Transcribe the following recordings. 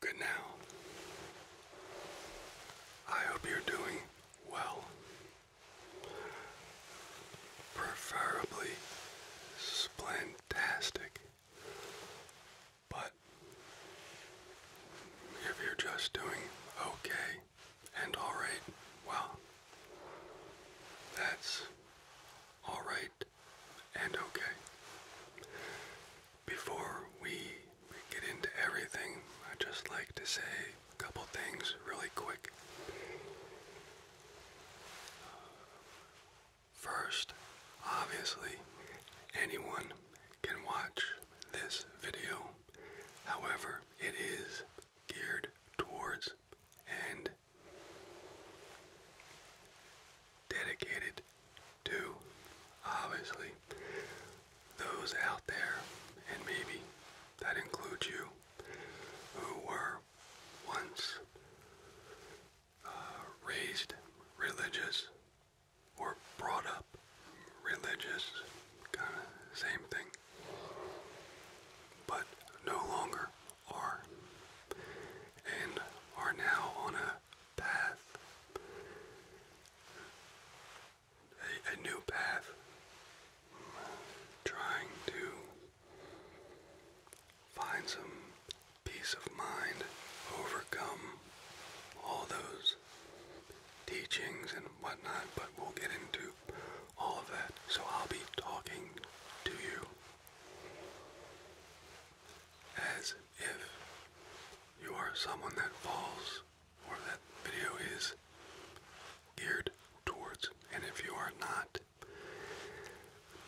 Good now. I hope you're doing well. Preferably splantastic. But if you're just doing okay, and all right. Well, that's all right and okay. Before we get into everything, I'd just like to say a couple things really quick. First, obviously, anyone can watch this video. However, it is geared towards and dedicated to obviously those out there, and maybe that includes you, who were once uh, raised religious or brought up religious, kind of same thing but no longer are, and are now on a path, a, new path, trying to find some peace of mind, overcome all those teachings and whatnot, but we'll get into all of that. So I'll be talking to you as if you are someone that falls or that video is geared towards. And if you are not,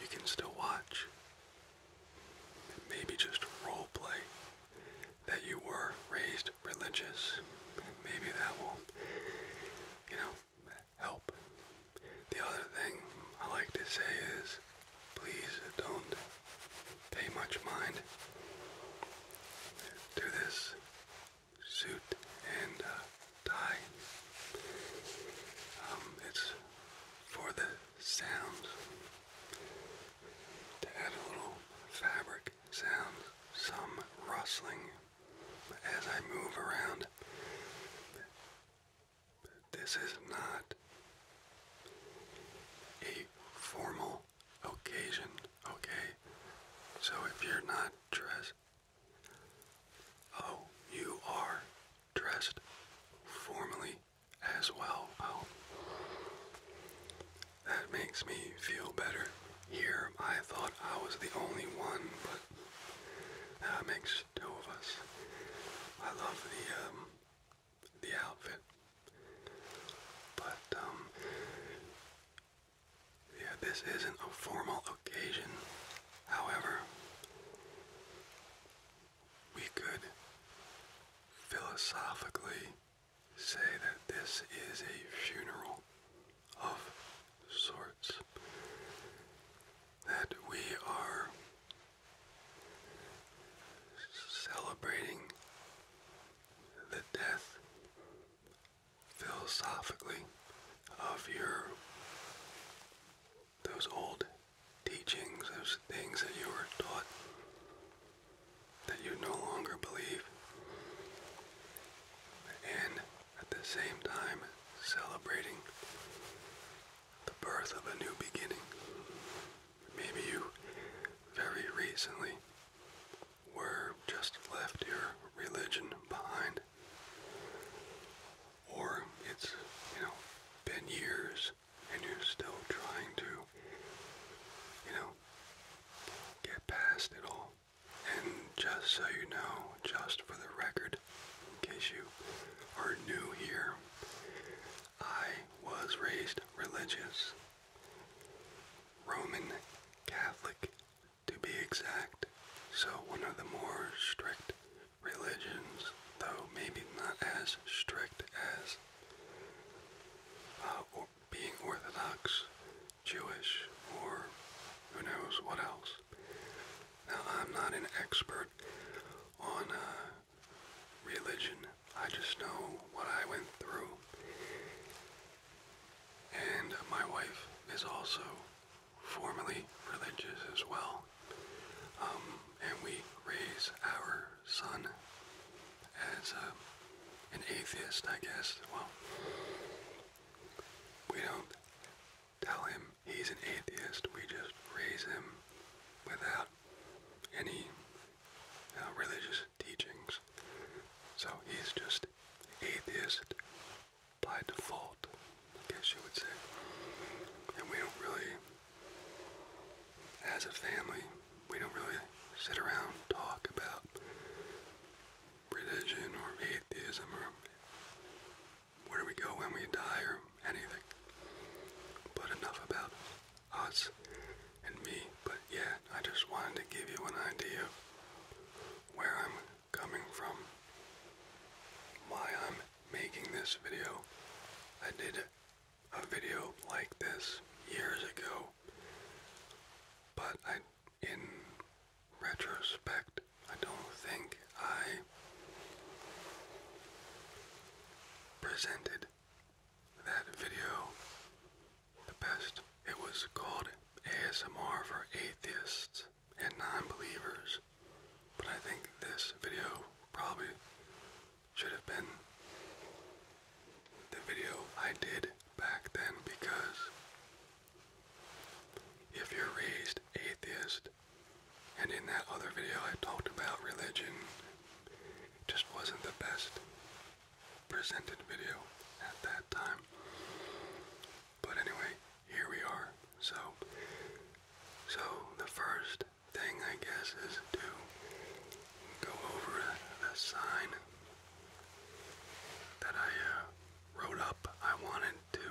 you can still watch. Maybe just role that you were raised religious. Maybe that will, you know, help. The other thing I like to say is please don't pay much mind to this suit and uh, tie. Um, it's for the sound to add a little fabric sound, some rustling as I move around. This is not a formal occasion, okay? So if you're not dressed, oh, you are dressed formally as well. Oh, that makes me feel better. Here I thought I was the only one, but that makes two of us. I love the um, the outfit, but um, yeah, this isn't a formal occasion. However, we could philosophically say that this is a funeral of sorts that we are celebrating the death philosophically of your those old teachings, those things that you were taught that you no longer believe. And at the same time celebrating the birth of a new beginning. Maybe you very recently were just left your religion behind. Or it's, you know, been years and you're still trying to, you know, get past it all. And just so you know, just for the record, in case you are new here, I was raised religious. Roman Catholic, to be exact. So one of the more strict religions, though maybe not as strict as uh, being Orthodox, Jewish, or who knows what else. Now, I'm not an expert on uh, religion, I just know what I went through. And my wife is also formerly religious as well. Um, and we raise our son as uh, an atheist, I guess. Well, we don't tell him he's an atheist. We just raise him without any uh, religious teachings. So he's just atheist by default, I guess you would say. And we don't really, as a family, we don't really sit around talk about religion or atheism or where do we go when we die or anything. But enough about us and me. But yeah, I just wanted to give you an idea of where I'm coming from, why I'm making this video. I did a video like this years ago, but I in retrospect, I don't think I presented that video the best. It was called ASMR for Atheists and Non-Believers, but I think this video probably should have been the video I did back then because if you're raised atheist, and in that other video, I talked about religion. It just wasn't the best presented video at that time. But anyway, here we are. So, so the first thing I guess is to go over the sign that I uh, wrote up. I wanted to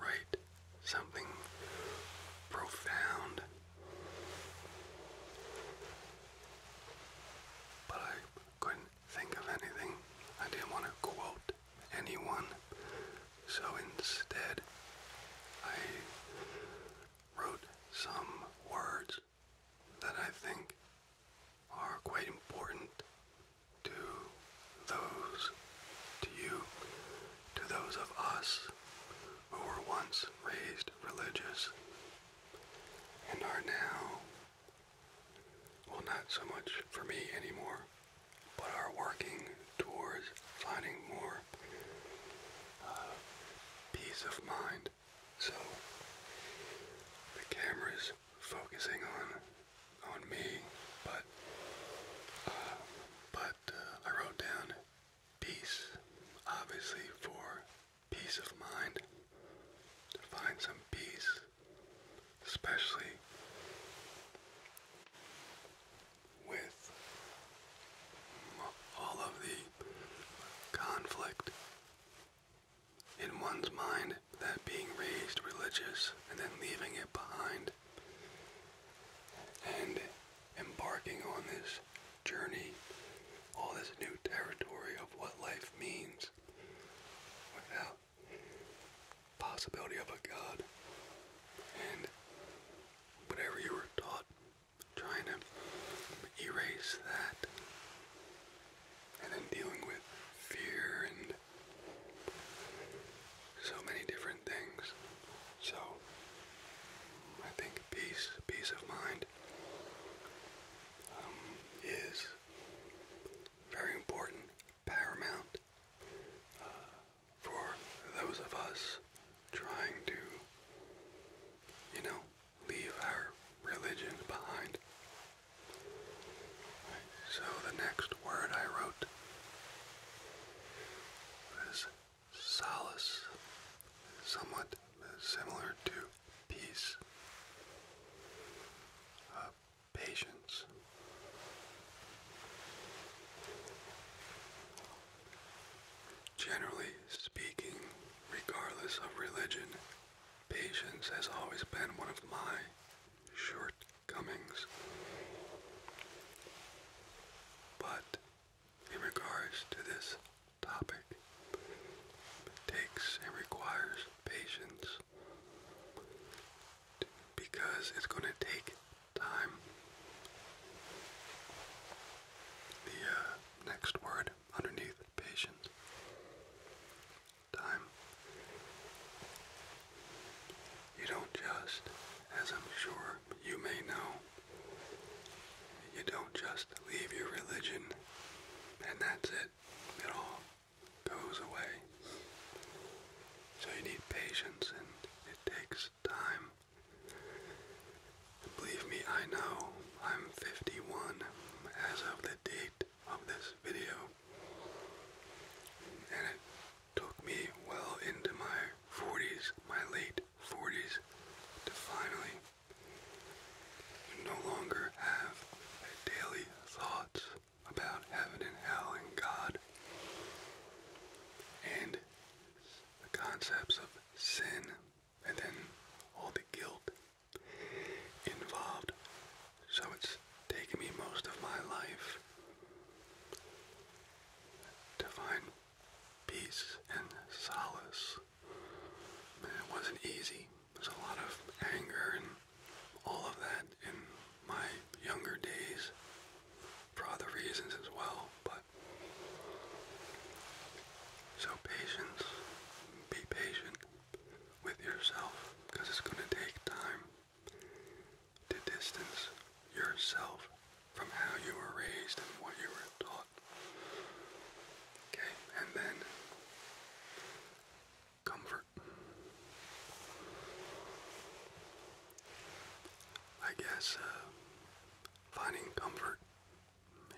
write something profound. But I couldn't think of anything. I didn't want to quote anyone. So instead, I wrote some words that I think are quite important to those, to you, to those of us who were once raised religious and are now, well, not so much for me anymore, but are working towards finding more uh, peace of mind. So the camera is focusing on on me, but uh, but uh, I wrote down peace, obviously for peace of mind, to find some peace, especially with all of the conflict in one's mind, that being raised religious and then leaving it behind and embarking on this journey, all this new territory of what life means without possibility of a God and whatever you were taught, trying to erase that and then dealing with fear and so many different things. So I think peace, peace of mind, um, is very important, paramount uh, for those of us trying to, you know, leave our religion behind. So the next word I wrote this solace somewhat similar to peace, uh, patience. Generally speaking, regardless of religion, patience has always been one of my short Cummings. But in regards to this topic, takes and requires patience because it's going to take time. The uh, next word underneath patience, time. You don't just as I'm sure you may know, you don't just leave your religion and that's it. It all goes away. So you need patience and it takes time. Believe me, I know I'm 51 as of the date of this video. And Took me well into my 40s, my late 40s, to finally no longer have daily thoughts about heaven and hell and God and the concepts of sin and then all the guilt involved. So it's taken me most of my life to find peace and solace. it wasn't easy. There's a lot of anger and all of that in my younger days for other reasons as well, but so patience, be patient with yourself because it's going to take time to distance yourself from how you were raised and what you were taught. Okay, and then comfort. I guess uh, finding comfort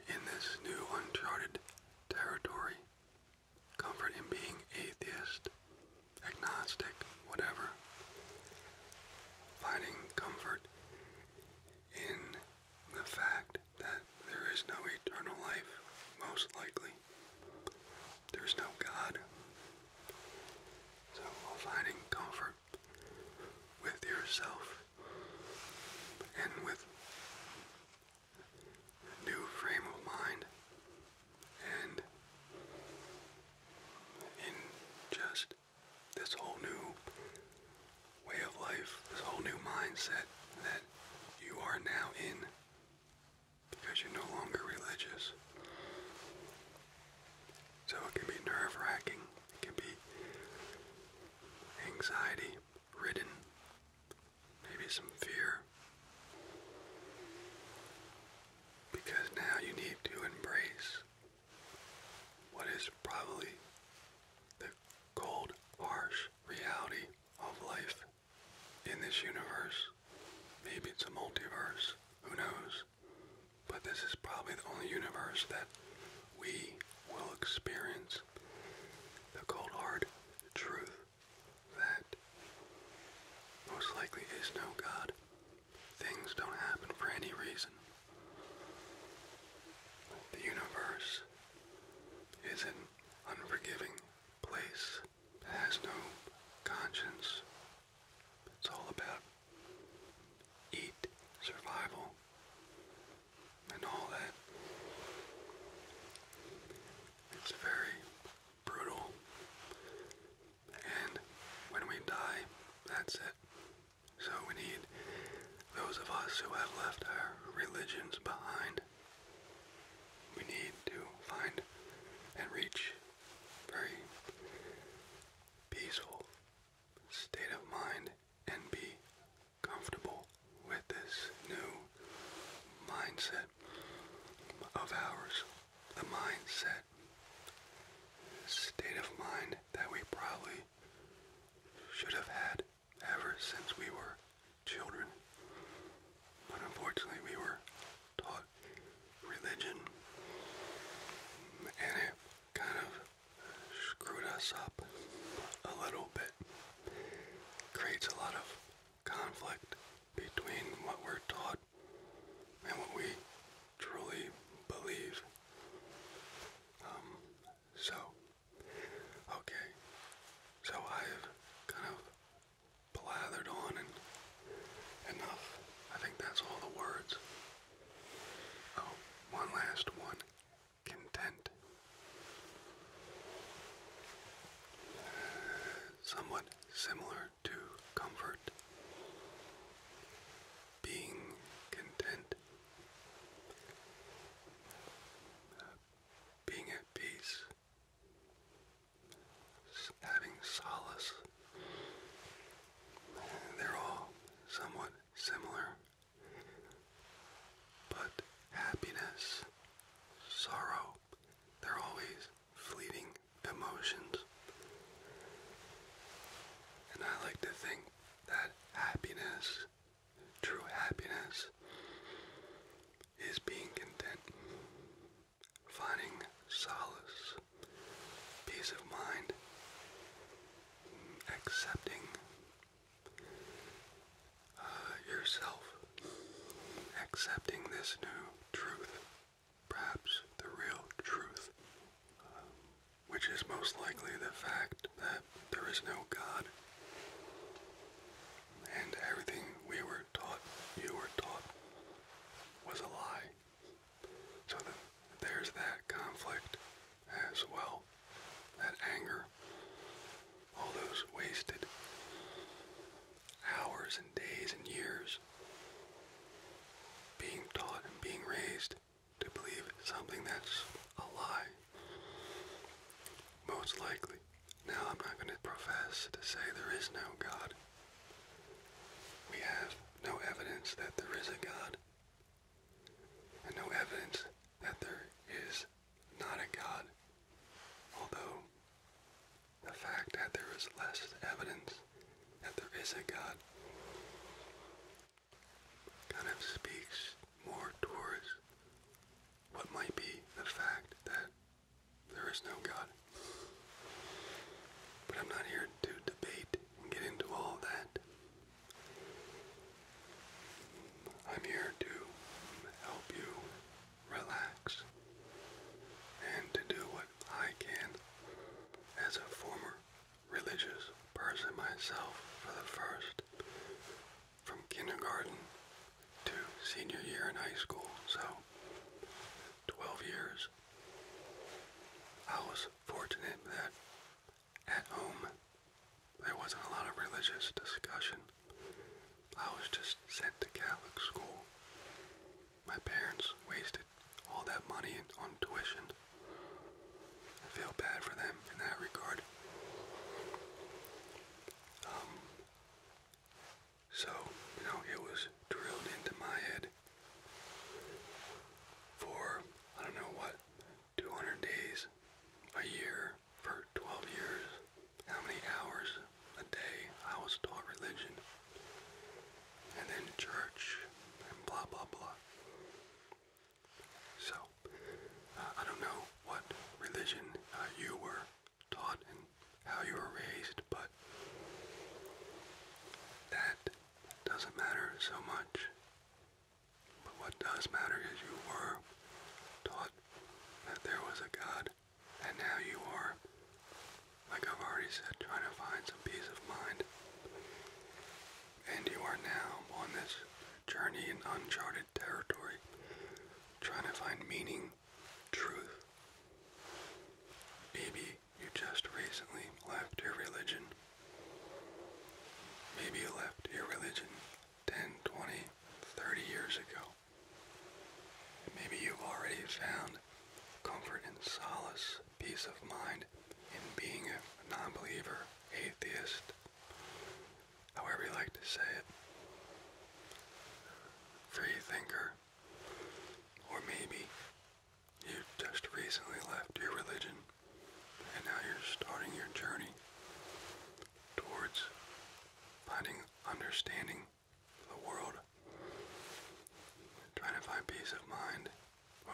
in this new uncharted territory, comfort in being atheist, agnostic, whatever, finding comfort in the fact that there is no eternal life, most likely. There's no God. So finding comfort with yourself and with a new frame of mind and in just this whole new way of life, this whole new mindset that you are now in because you're no longer religious. So it can be nerve wracking, it can be anxiety ridden, maybe some fear. Because now you need to embrace what is probably the cold, harsh reality of life in this universe. Maybe it's a multiverse, who knows? But this is probably the only universe that we will experience the cold hard truth that most likely is no God. Things don't happen for any reason. The universe is an unforgiving place. It has no conscience. It's all about eat, survival, and all that. It's very brutal and when we die, that's it. So we need those of us who have left our religions behind. We need to find and reach very peaceful state of mind and be comfortable with this new mindset of ours the mindset, state of mind that we probably should have had ever since we were children. But unfortunately, we were taught religion, and it kind of screwed us up a little bit. Creates a lot of conflict between what we're taught and what we truly believe. Um, so, okay, so I've kind of blathered on enough. I think that's all the words. Oh, one last one. Content. somewhat similar to comfort, being content, uh, being at peace, having solace. They're all somewhat similar, but happiness, sorrow, they're always fleeting emotions. And I like to think that happiness, true happiness, is being content, finding solace, peace of mind, accepting uh, yourself, accepting this new truth perhaps the real truth, um, which is most likely the fact that there is no God. And everything we were taught, you were taught, was a lie. So there's that conflict as well, that anger, all those wasted hours and days and years being taught and being raised to believe something that's a lie. Most likely. Now, I'm not going to profess to say there is no God. We have no evidence that there is a God, and no evidence that there is not a God, although the fact that there is less evidence that there is a God kind of speaks more towards what might be the fact that there is no God. But I'm not here to debate and get into all that. I'm here to help you relax and to do what I can as a former religious person myself for the first from kindergarten to senior year in high school, so 12 years. I was fortunate that at home there wasn't a lot of religious discussion. I was just sent to Catholic school. My parents wasted all that money on tuition. I feel bad for them in that regard. Um, so, you know, it was drilled into my head for, I don't know what, 200 days, a year, for 12 years, how many hours a day I was taught religion, and then church, and blah, blah, blah. So, uh, I don't know what religion uh, you were taught and how you were raised, but that doesn't matter so much. But what does matter is you were taught that there was a God, and now you are, like I've already said, trying to find some peace of mind and you are now on this journey in uncharted territory, trying to find meaning, truth. Maybe you just recently left your religion. Maybe you left your religion 10, 20, 30 years ago. Maybe you've already found comfort and solace peace of mind in being a non believer, atheist, however you like to say it, free thinker, or maybe you just recently left your religion and now you're starting your journey towards finding understanding of the world, trying to find peace of mind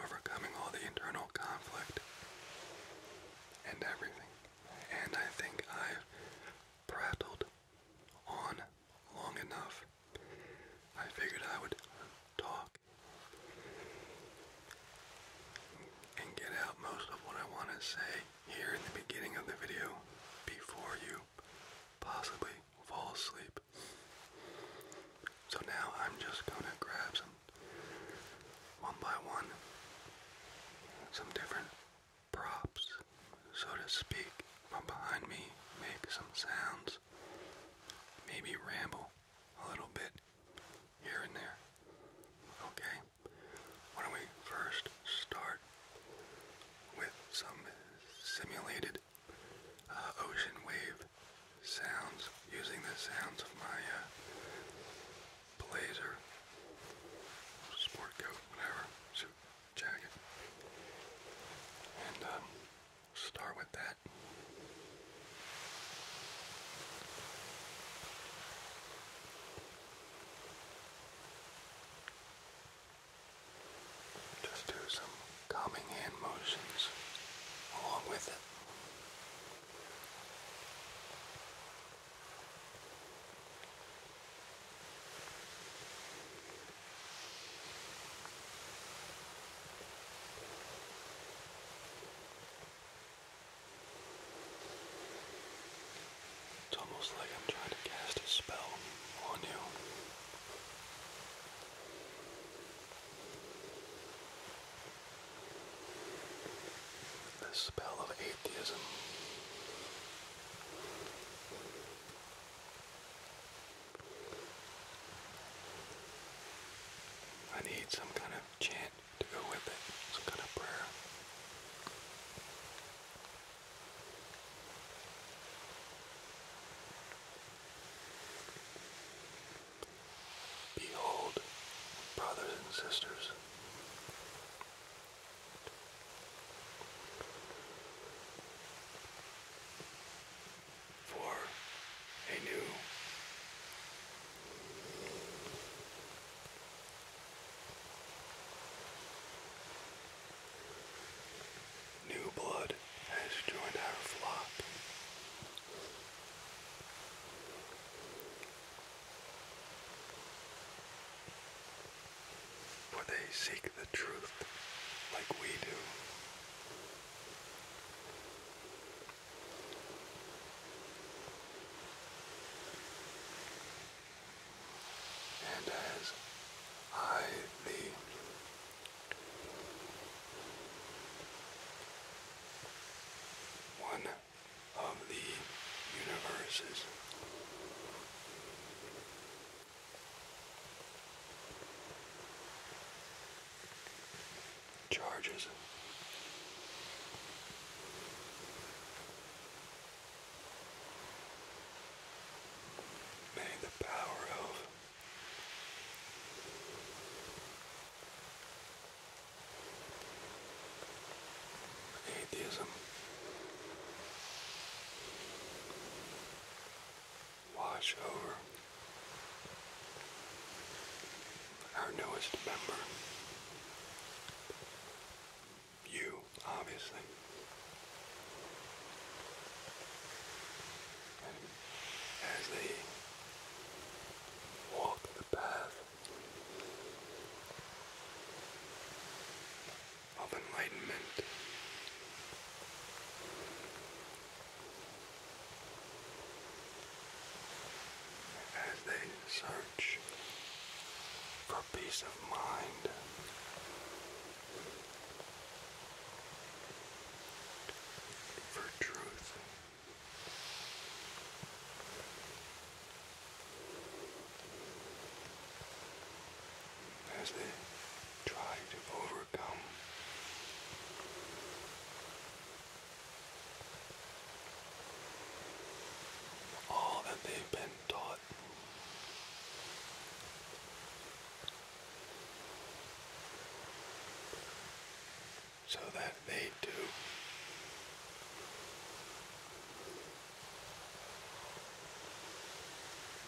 overcoming all the internal conflict and everything. And I think I've prattled on long enough. I figured I would talk and get out most of what I want to say here in the beginning of the video before you possibly fall asleep. So now I'm just going to grab some, one by one, some different props, so to speak, from behind me, make some sounds, maybe ramble a little bit here and there. Okay, why don't we first start with some simulated uh, ocean wave sounds, using the sounds of my uh, blazer, sport coat, whatever, suit, jacket. And um, start with that. Just do some calming hand motions along with it. It's almost like I'm trying to cast a spell on you. The spell of atheism. I need some kind of chant to go with it, some kind of prayer. Behold, brothers and sisters, for a new New blood has joined our flock. For they seek the truth like we do. And as I, the one of the universes. Charges. May the power of Atheism. Wash over our newest member. You, obviously as they walk the path of enlightenment. As they search for peace of mind, for truth as they try to overcome all that they've been taught so that they do,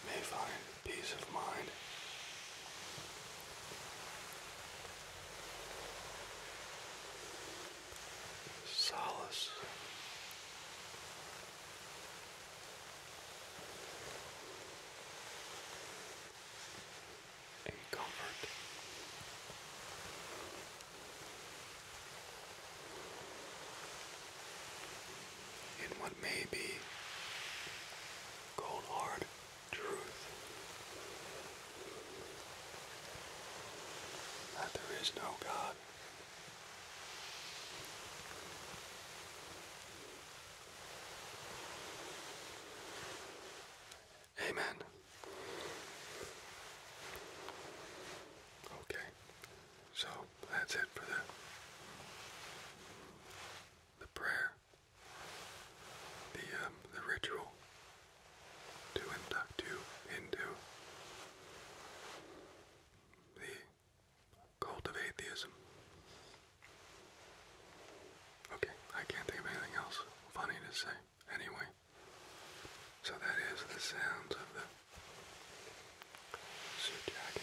may find peace of mind. Solace in comfort. In what may be cold hard truth that there is no God. Amen. Okay, so that's it for the the prayer, the um, the ritual to induct uh, you into the cult of atheism. Okay, I can't think of anything else funny to say. Anyway, so that is the sound of the suit jacket.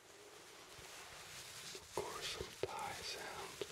or some tie sound.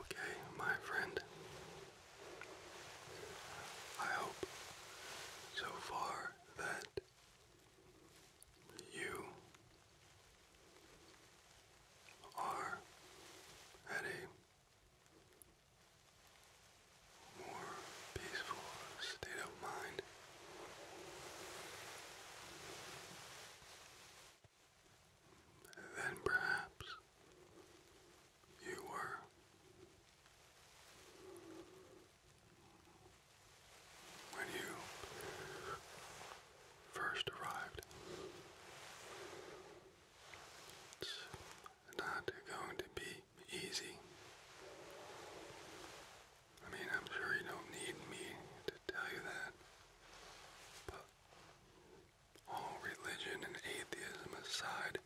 Okay, my friend. I hope so far that you are at more peaceful state of mind. Then perhaps you were. When you first arrived, it's not going to be easy. I mean, I'm sure you don't need me to tell you that, but all religion and atheism aside,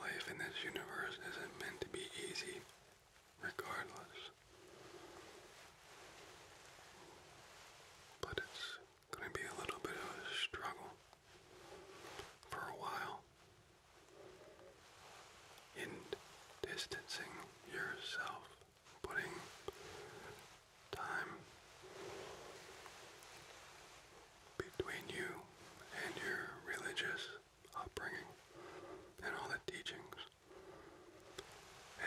life in this universe isn't meant to be easy, regardless. But it's going to be a little bit of a struggle for a while in distancing yourself, putting time between you and your religious upbringing and all the teachings.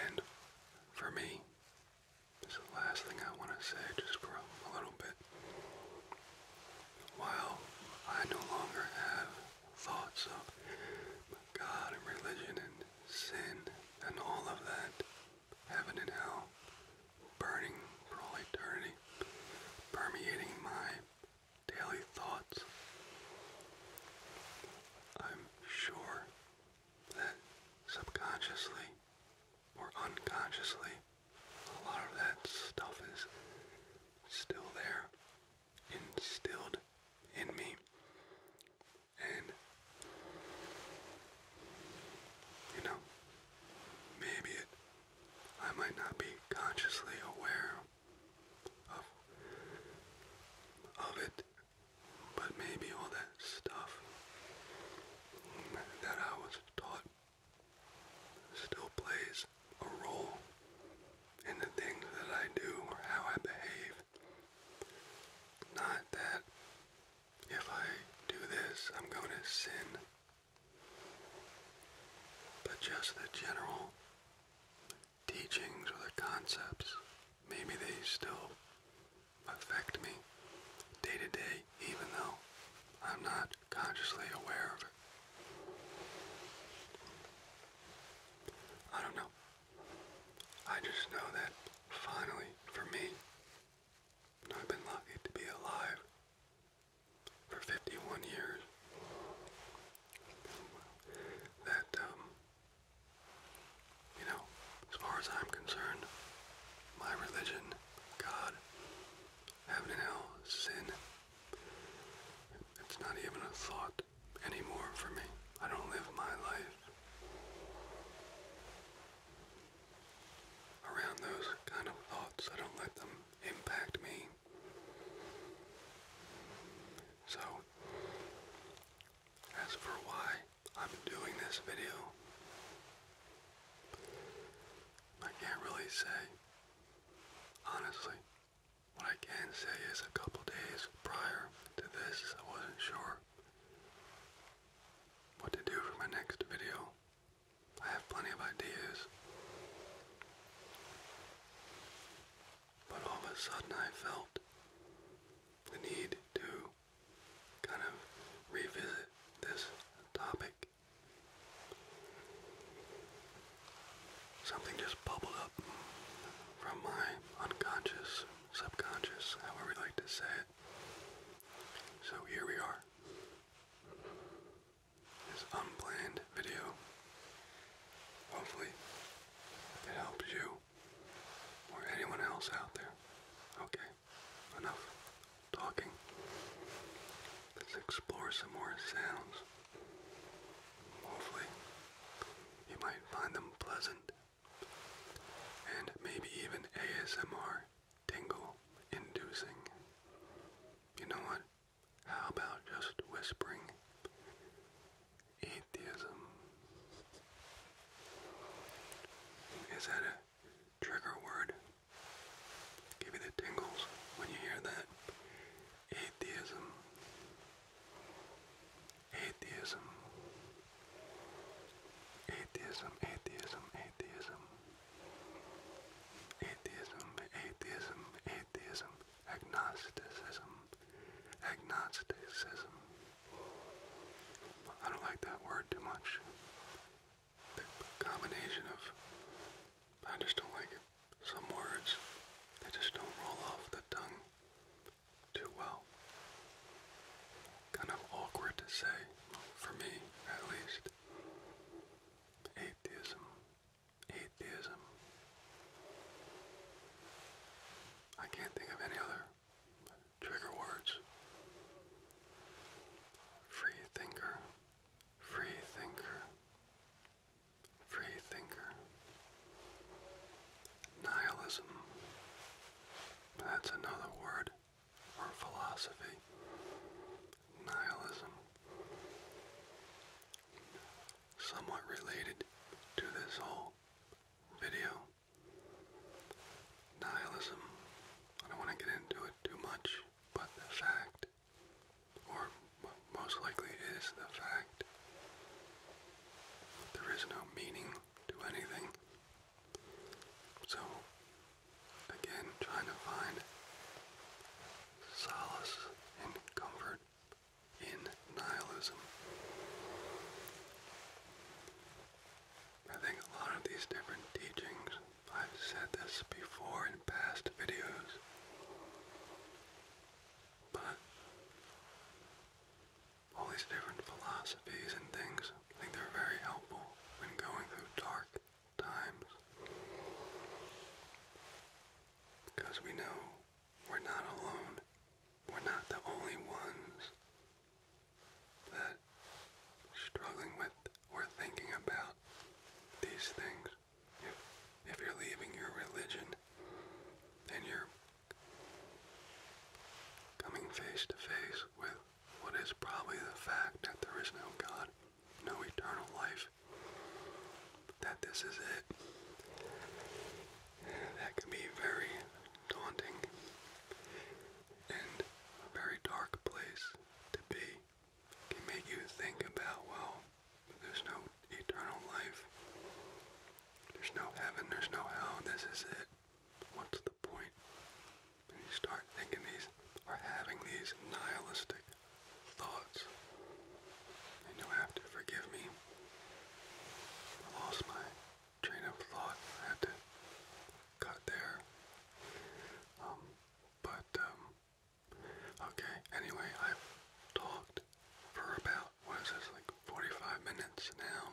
And for me, this the last thing I want to say just for a little bit. While I no longer have thoughts of God and religion and sin and all of that, heaven and hell, burning for all eternity, permeating my daily thoughts. I'm sure that subconsciously or unconsciously, a lot of that stuff is still there instilled in me. And, you know, maybe it, I might not be consciously aware of, of it, but maybe all that stuff that I was taught still plays a rule in the things that I do or how I behave. Not that if I do this, I'm going to sin, but just the general teachings or the concepts. Maybe they still affect me day to day, even though I'm not consciously aware of it. I don't know. I just know that finally, for me, I've been lucky to be alive for 51 years. That, um, you know, as far as I'm concerned, my religion, God, heaven and hell, sin, it's not even a thought anymore for me. I don't live my life around those kind of thoughts. I don't let them impact me. So, as for why I'm doing this video, I can't really say. Honestly, what I can say is a couple days prior to this, I wasn't sure what to do for my next video. I have plenty of ideas. But all of a sudden I felt the need to kind of revisit this topic. Something just bubbled up from my unconscious, subconscious, however we like to say it. So here we are. This unplanned video. Hopefully, it helps you or anyone else out there. Okay, enough talking. Let's explore some more sounds. Hopefully, you might find them pleasant and maybe even ASMR tingle inducing. You know what? How about just whispering atheism? Is that a trigger word? Give you the tingles when you hear that. Atheism. Atheism. Atheism, atheism, atheism. Atheism, atheism, atheism. Agnosticism. Agnosticism. I don't like that word too much. The combination of. I just don't like it. Some words that just don't roll off the tongue too well. Kind of awkward to say, for me at least. Atheism. Atheism. I can't think of any other trigger words. Free thinker. Free thinker free thinker, nihilism. That's another word for philosophy. Nihilism. Somewhat related to this whole video. Nihilism. I don't want to get into it too much, but the fact or most likely is the fact there is no meaning to anything. So, again, trying to find solace and comfort in nihilism. I think a lot of these different teachings, I've said this before in past videos, but all these different philosophies and things, I think they're very helpful when going through dark times. Because we know we're not alone. We're not the only ones that struggling with or thinking about these things. If you're leaving your religion then you're coming face to face with what is probably the fact that there is no God, no eternal life, that this is it, that can be very daunting and a very dark place to be. can make you think about, well, there's no eternal life. There's no heaven. There's no hell. This is it. What's the point? When you start thinking these or having these nihilistic thoughts, and you have to forgive me. I lost my train of thought. I had to cut there. Um, but um, okay. Anyway, I've talked for about what is this, like 45 minutes now,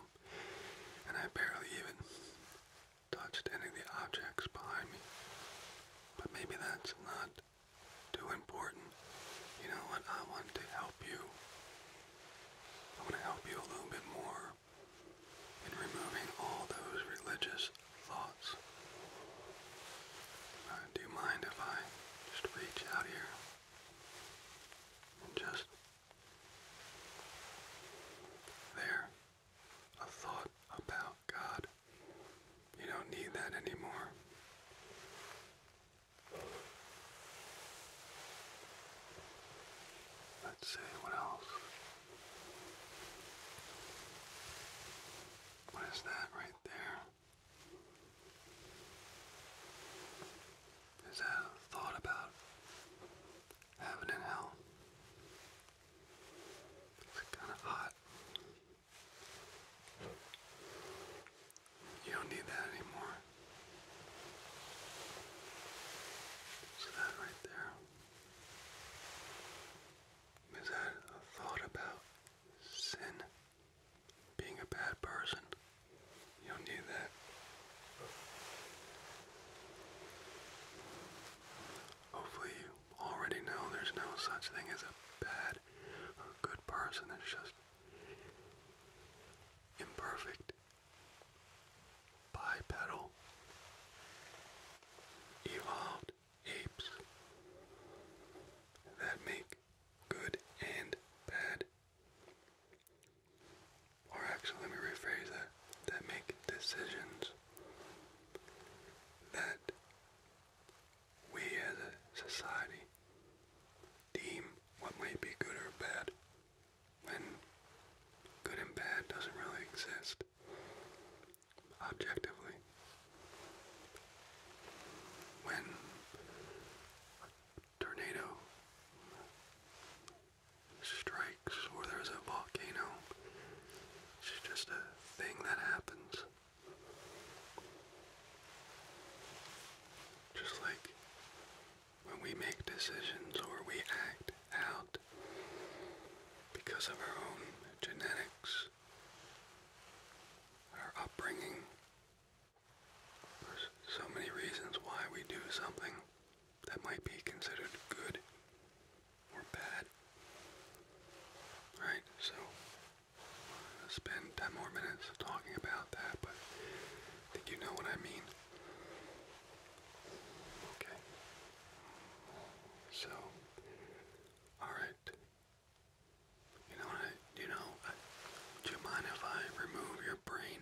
and I barely even touched any of the objects behind me. But maybe that's not too important. You know what? I want to help you. I want to help you a little bit more in removing all those religious thoughts. Uh, do you mind if I just reach out here? Just there. A thought about God. You don't need that anymore. Let's see what else. What is that right there? Is that thought about heaven and hell? It's kind of hot. You don't need that anymore. So that right there. Is that a thought about sin? being a bad person. You do need that. Hopefully, you already know there's no such thing as a bad or good person. It's just imperfect, bipedal, evolved apes that make good and bad or actually let me rephrase it: that make decisions that we as a society deem what might be good or bad when good and bad doesn't really exist objectively. When tornado strikes or there's a volcano. It's just a thing that happens. Just like when we make decisions or we act out because of our own genetics, our upbringing, there's so many reasons why we do something that might be considered good or bad. Right, so spend 10 more minutes talking about that, but I think you know what I mean. Okay. So, alright. You know, you know, do you mind if I remove your brain?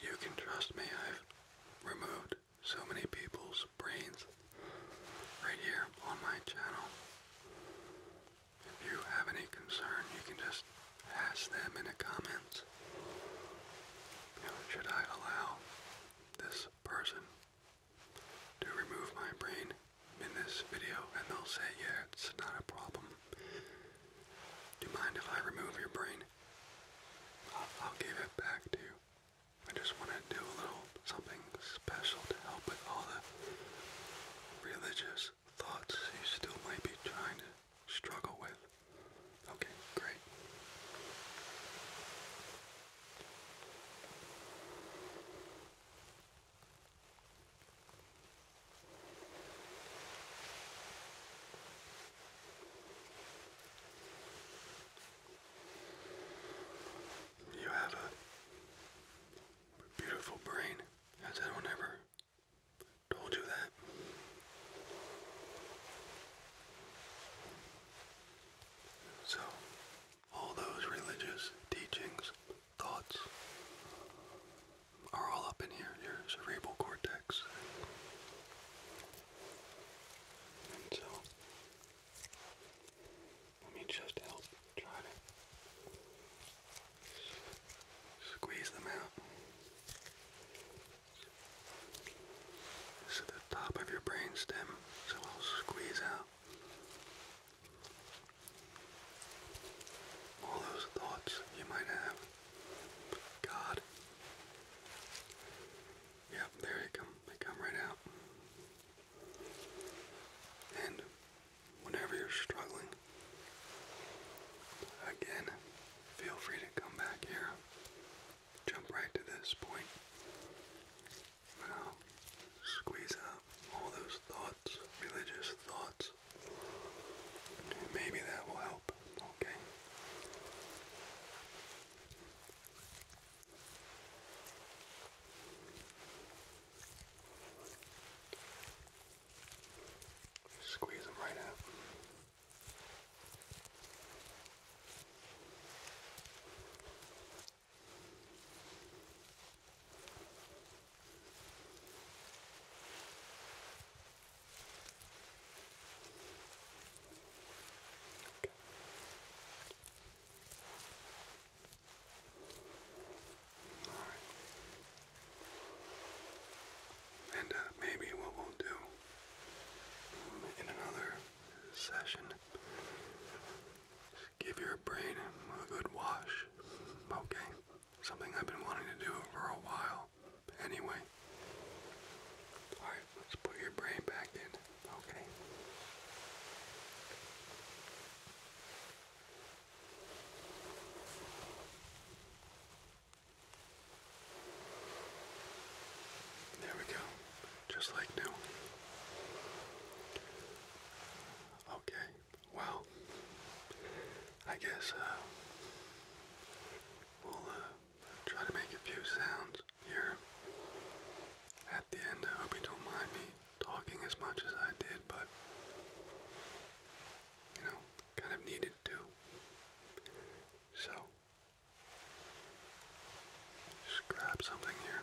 You can trust me, I've removed so many people's brains right here on my channel. If you have any concern, you can just ask them in the comments. should I allow this person to remove my brain? in this video and they'll say, yeah, it's not a problem. Do you mind if I remove your brain? I'll, give it back to you. I just want to do a little something special to help with all the religious thoughts you still might be trying to struggle with. Okay, great. You have a beautiful brain, as I ever told you that. So, all those religious teachings thoughts are all up in here, your cerebral cortex. And so, let me just help try to squeeze them out. This is the top of your brain so I'll squeeze out all those thoughts you might have. God. Yep, there they come. They come right out. And whenever you're struggling, again, feel free to come back here. Jump right to this point. Now, squeeze out all those thoughts, religious thoughts, Maybe that will help. Okay. Squeeze them right out. Right. And uh, maybe what we'll do in another session give your brain a good wash, okay? Something I've been wanting to do for a while. anyway. Alright, let's put your brain back in. Okay. There we go. Just like new. Okay, well, I guess uh, we'll uh, try to make a few sounds here at the end. I hope you don't mind me talking as much as I did, but you know, kind of needed to. So, just grab something here.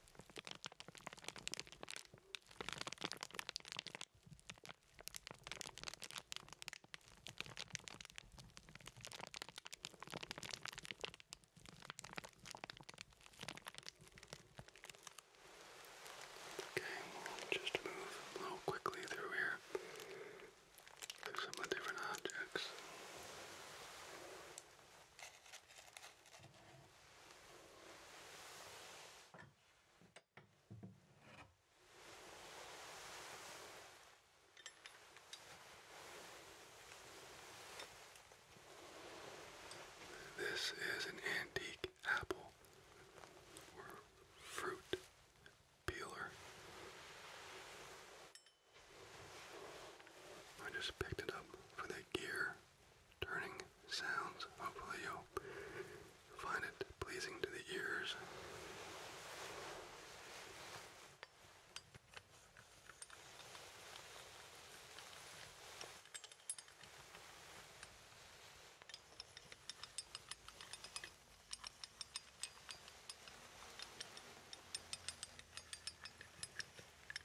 Okay, we'll just move a little quickly through here. Through some of the different objects. This is an antique apple or fruit peeler. I just picked it up for that gear turning sounds. Hopefully you'll find it pleasing to the ears.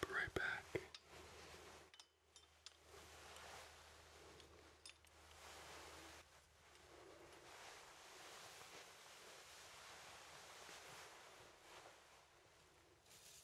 Be right back.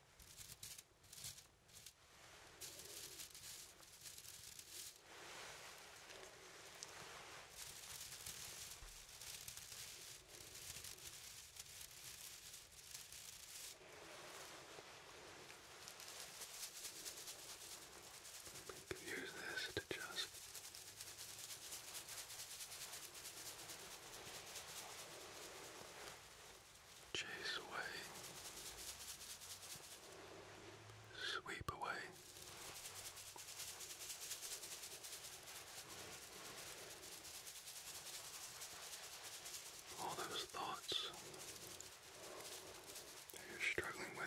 You can use this to just chase away, sweep away. All those thoughts you're struggling with.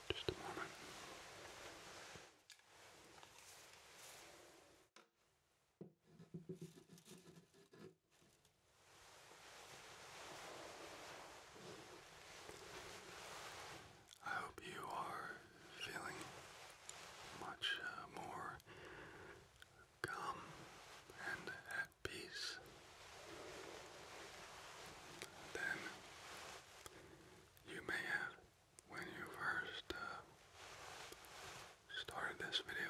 Just a moment. I hope you are feeling much uh, more calm and at peace than you may have when you first uh, started this video.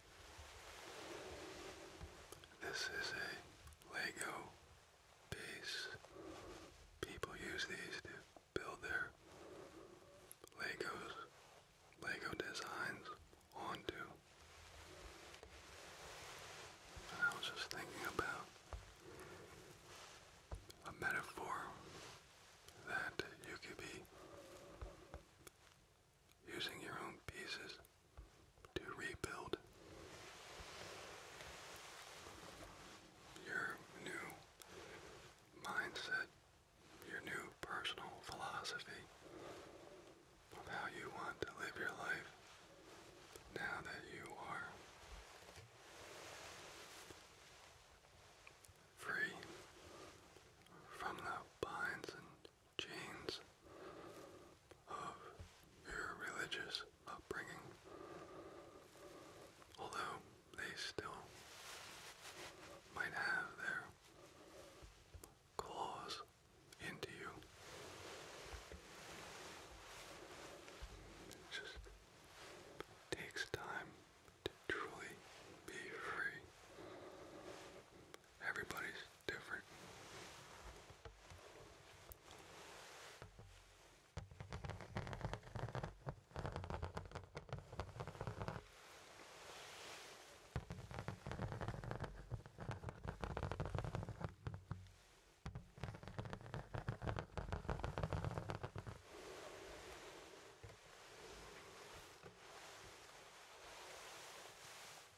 This is a Lego piece. People use these to build their Legos, Lego designs onto. I was just thinking about a metaphor that you could be using your own pieces to rebuild your new mindset, your new personal philosophy of how you want to live your life now that you are free from the binds and chains of your religious upbringing, although they still might have their claws into you. just takes time to truly be free Everybody's different.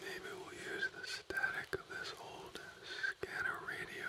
Maybe we'll use the static of this old scanner radio.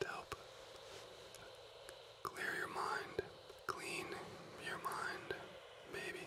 to help clear your mind, clean your mind, maybe.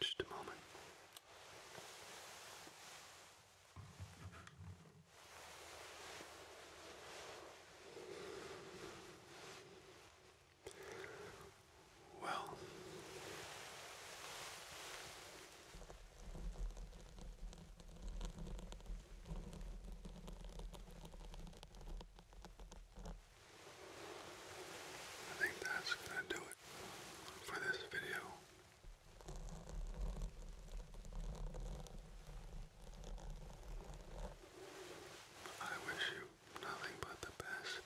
Just a moment. Well, I think that's going to do it for this video. I wish you nothing but the best.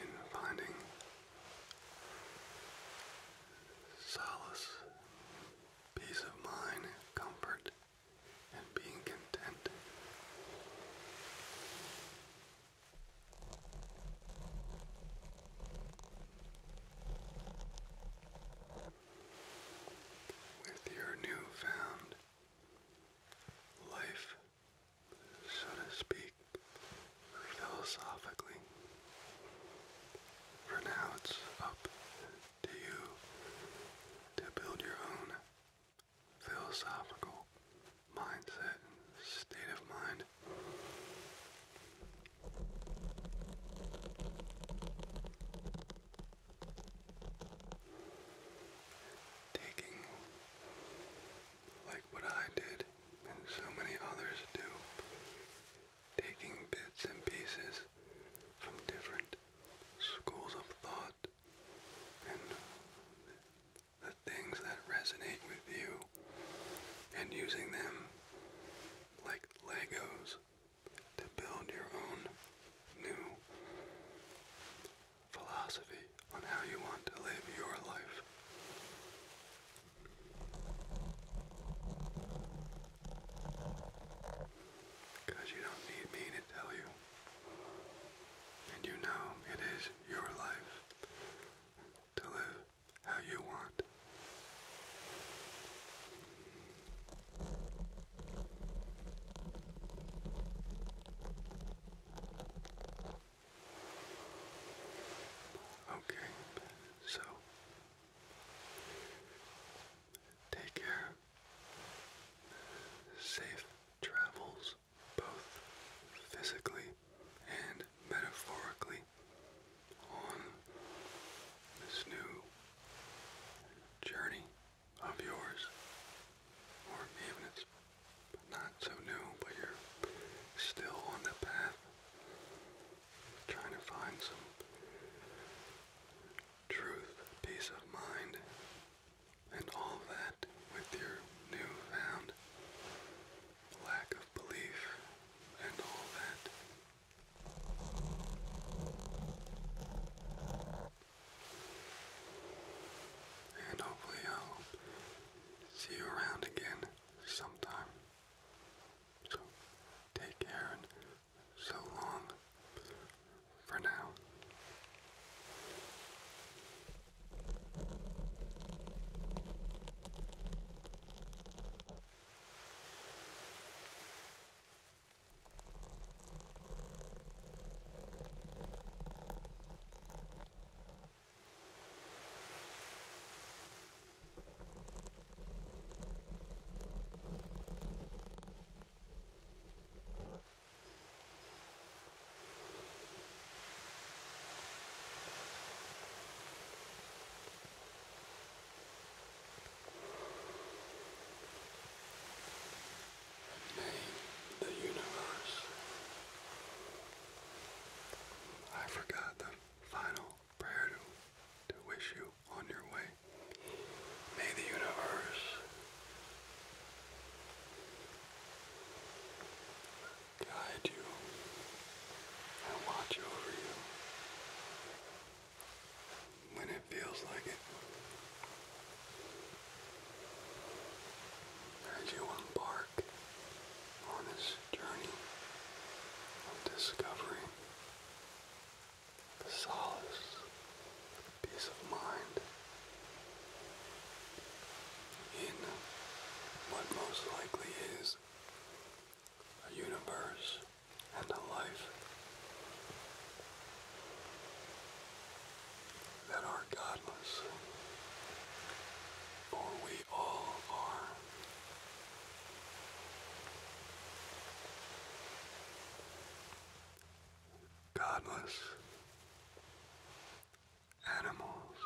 In finding solace peace of mind, comfort, and being content. With your newfound life, so to speak, philosophically. For now, it's up to you to build your own philosophical mindset state of mind. Taking like what I did and so many others do taking bits and pieces from different schools of thought and the things that resonate with you and using them like Legos to build your own new philosophy on how you want to live your life. Because you don't need me to tell you. And you know it is your life to live how you want. Okay, so Take care. Safe travels, both physically and metaphorically, on this new journey of yours. Or even it's not so new, but you're still on the path trying to find some truth, peace of mind, and all that with your newfound lack of belief and all that. And hopefully, I'll see you around again sometime. So, take care so long for now. Name the universe. I forgot the final prayer to, to wish you on your way. May the universe guide you and watch over you when it feels like it. As you embark on this journey of discovery the solace, the peace of mind in what most likely is a universe and a life that are godless, for we all are Godless animals.